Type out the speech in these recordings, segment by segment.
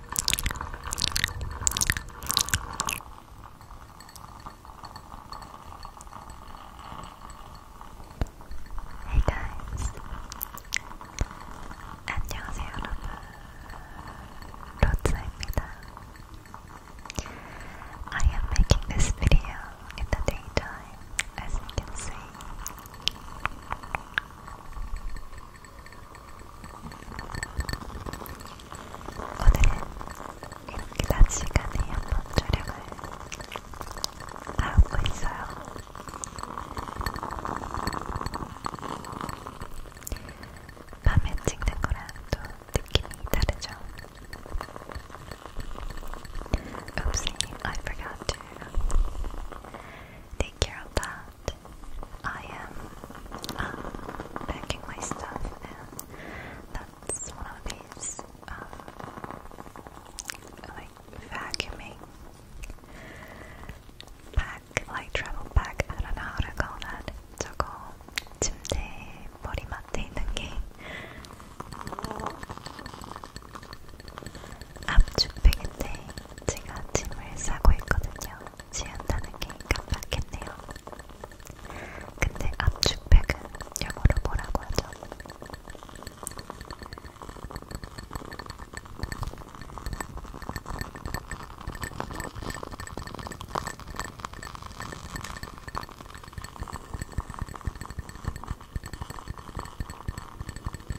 Hey guys, 안녕하세요 여러분, 로트입니다. I am making this video in the daytime, as you can see. 오늘은 이렇게 낮 시간에 한번 촬영을 하고 있어요. 밤에 찍는 거랑 또 느낌이 다르죠. Oopsie, I forgot to take care of that. I am uh, packing my stuff, and that's one of these um, like vacuuming pack, like travel pack. I don't know how to call that. 저거 침대 머리맡에 있는 게 앞주팩인데 제가 짐을 싸고 있거든요. 지한다는 게 깜빡했네요. 근데 압축팩은 영어로 뭐라고 하죠?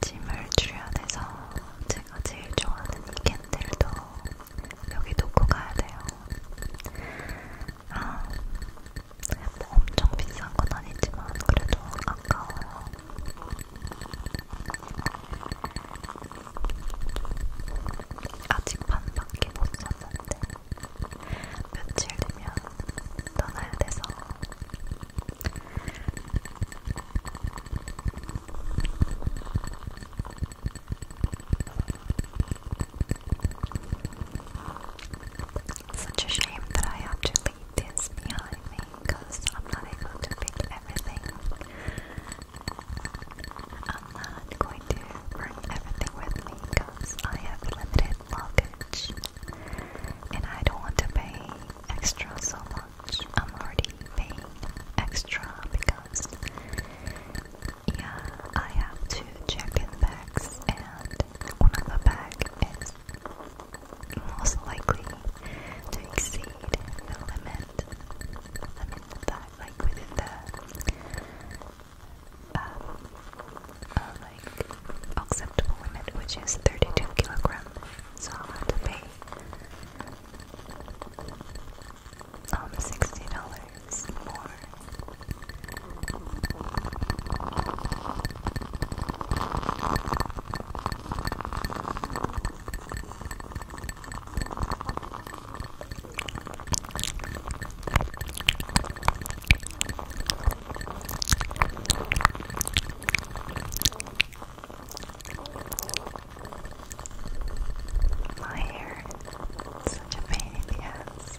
짐을 출연해서 제가 제일 좋아하는 캔들도 여기 놓고 가야 돼요. 아, 뭐 엄청 비싼 건 아니지만 그래도 아까워요. 아직 반밖에 못 썼는데 며칠 되면 떠나야 돼서 Such a shame that I have to leave this behind me because I'm not able to pick everything. I'm not going to bring everything with me because I have limited luggage and I don't want to pay extra so much. I'm already paying extra because yeah, I have two bags and one of bag is most likely to exceed the limit. I mean that like within the um, um, acceptable limit, which is 32 kilogram. So I'll have to pay um sixty dollars more. My hair is such a pain in the ass.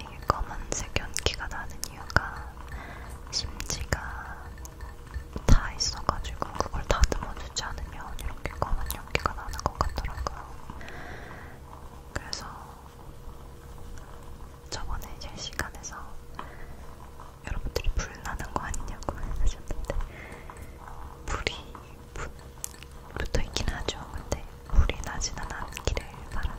이게 검은색 연기가 나는 이유가 심지가 다 있어가지고 그걸 다듬어주지 않으면 이렇게 검은 연기가 나는 것 같더라고요. 그래서 저번에 실시간에서 여러분들이 불 나는 거 아니냐고 하셨는데 불이 부, 붙어 있긴 하죠. 근데 불이 나지는 않기를 바라며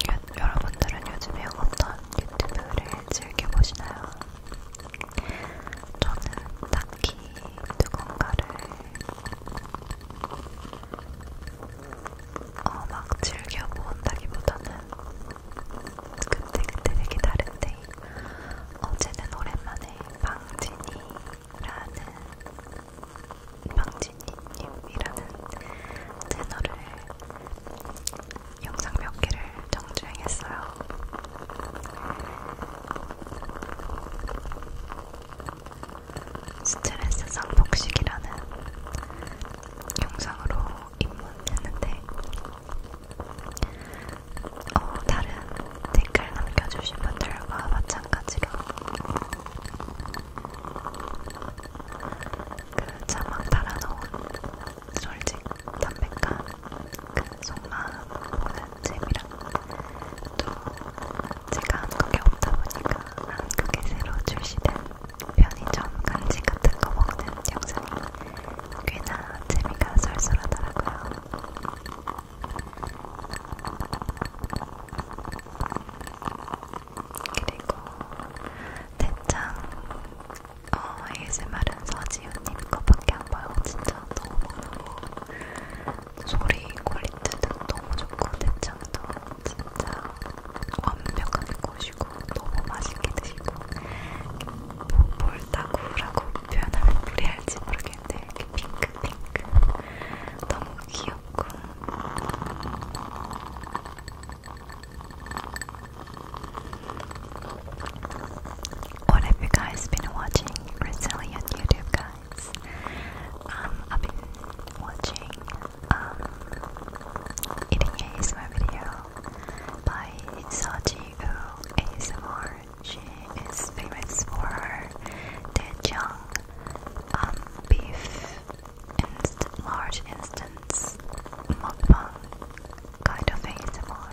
유, 여러분들은 요즘에 어떤 유튜브를 즐겨보시나요? 저는 딱히 누군가를 어, 막 즐겨본다기보다는 그때그때 되게 다른데 어제는 오랜만에 방진이라는 방진이님이라는 채널을 영상 몇 개를 정주행했어요. 스트레스 상복식이라는 영상으로 입문했는데 어, 다른 댓글 남겨주신 분들과 마찬가지로 그 자막 달아놓은 솔직 담백한 그 속마음 보는 재미랑 또 제가 한국에 없다 보니까 한국에 새로 출시된 편의점 간식 같은 거 먹는 영상이 꽤나 재미가 쏠쏠하더라고요. 그리고 대장 어, ASMR은 서지훈님 것밖에 안 봐요. 진짜 너무 너무 소리 퀄리티도 너무 좋고 대장도 진짜 완벽하고 드시고 What have you guys been watching recently on YouTube guys? Um, I've been watching um, eating ASMR videos by Insaji ASMR. She is famous for her Daejeon um, beef inst large instance mukbang kind of ASMR.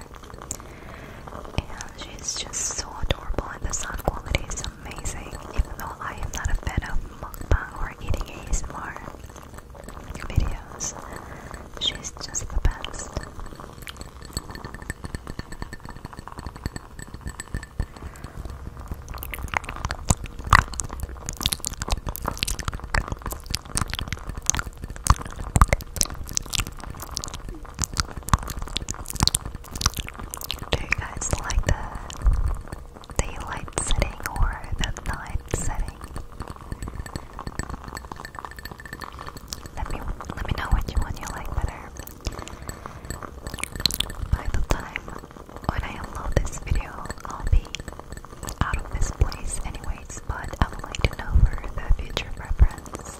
And she's just so adorable and the sound quality is amazing even though I am not a fan of mukbang or eating ASMR videos. She's just the best. Do you guys like the daylight setting or the night setting? Let me let me know which one you like better. By the time when I upload this video, I'll be out of this place anyways, but I would like to know for the future preference.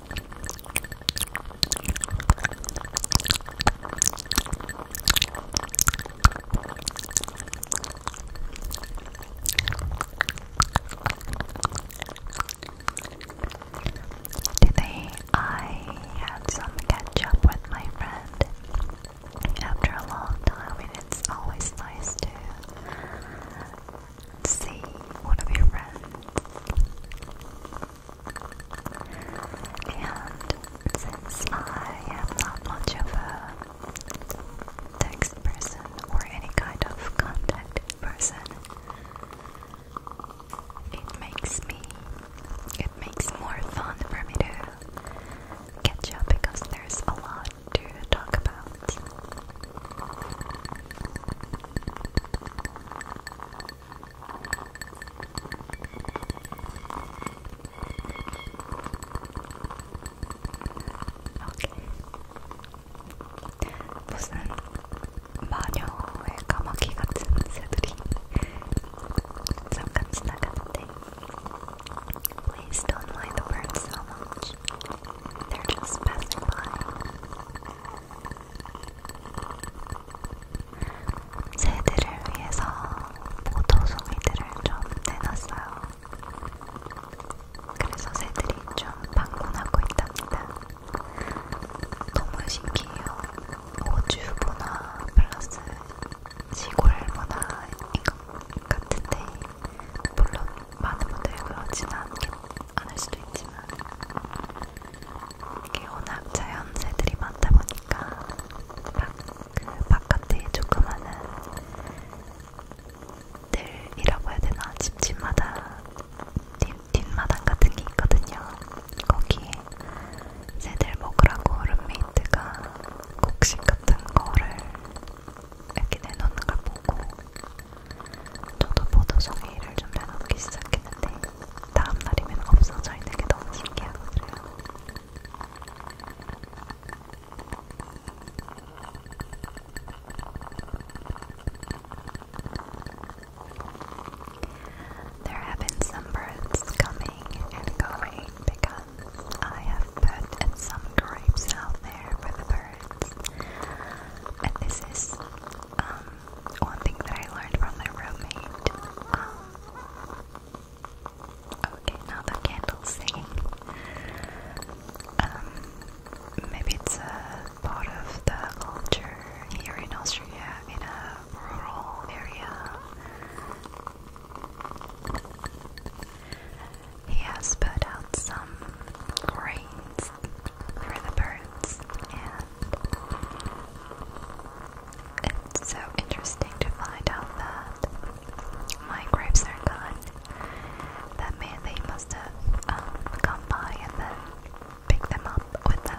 Today I had some catch up with my friend. After a long time, and it's always nice to see one of your friends and since I am not much of a text person or any kind of contact person, it makes me it makes more fun for me to catch up because there's a lot to talk about. 무슨 마녀의 까마귀 같은 새들이 잠깐 지나갔는데 Please don't mind the birds so much. They're just passing by. 새들을 위해서 포도송이들을 좀 내놨어요. 그래서 새들이 좀 방문하고 있답니다. 너무 신기해요. 호주 문화 플러스 시골 문화인 것 같은데 물론 많은 분들이 그렇지는 않을 수도 있지만 이게 워낙 자연새들이 많다 보니까 그 바깥에 조그마한 들이라고 해야 되나 집집마다 뒷, 뒷마당 같은 게 있거든요. 거기에 새들 먹으라고 룸메이트가 곡식 같은 거를 이렇게 내놓는 걸 보고 저도 보도 송이를 좀 내놓기 시작했는데 There have been some birds coming and going because I have put some grapes out there for the birds. And this is um, one thing that I learned from my roommate. Um, okay, now the candle's singing. Um, maybe it's part of the culture here in Austria, in a rural area. He has put out some grains for the birds, and it's so interesting to find out that my grapes are gone. That meant they must have come um, by and then picked them up with them.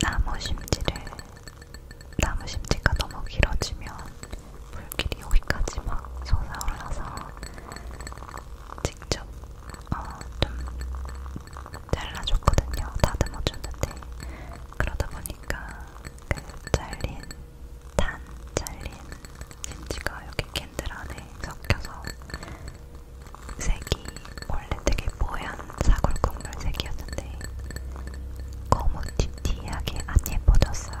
나무 심지를 나무 심지가 너무 길어지면 물길이 여기까지 막 솟아올라서 직접 어좀 잘라줬거든요. 다듬어줬는데 그러다 보니까 그 잘린 단 잘린 진지가 여기 캔들 안에 섞여서 색이 원래 되게 뽀얀 사골 국물 색이었는데 검은 띠띠하게 안 예뻐졌어요.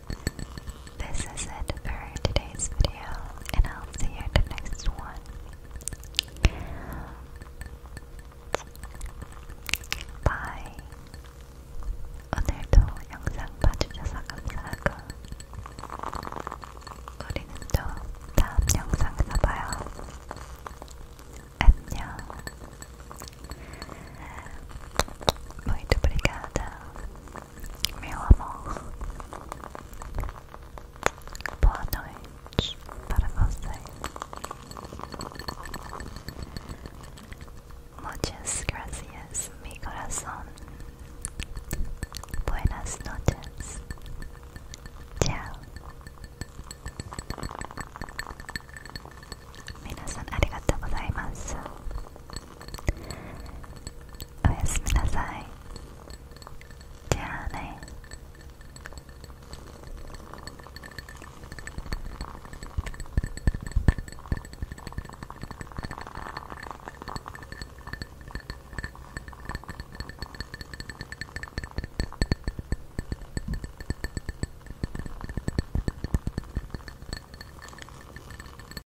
this is it for today's video, and I'll see you at the next one. Bye. 오늘도 영상 봐주셔서 감사하고, 우리는 또 다음 영상에서 봐요. 안녕. Muito obrigada. Meu amor, boa noite para você. Muchas gracias, mi corazón. Buenas noches. Ciao. Minasan arigatou おやすみなさいじゃあね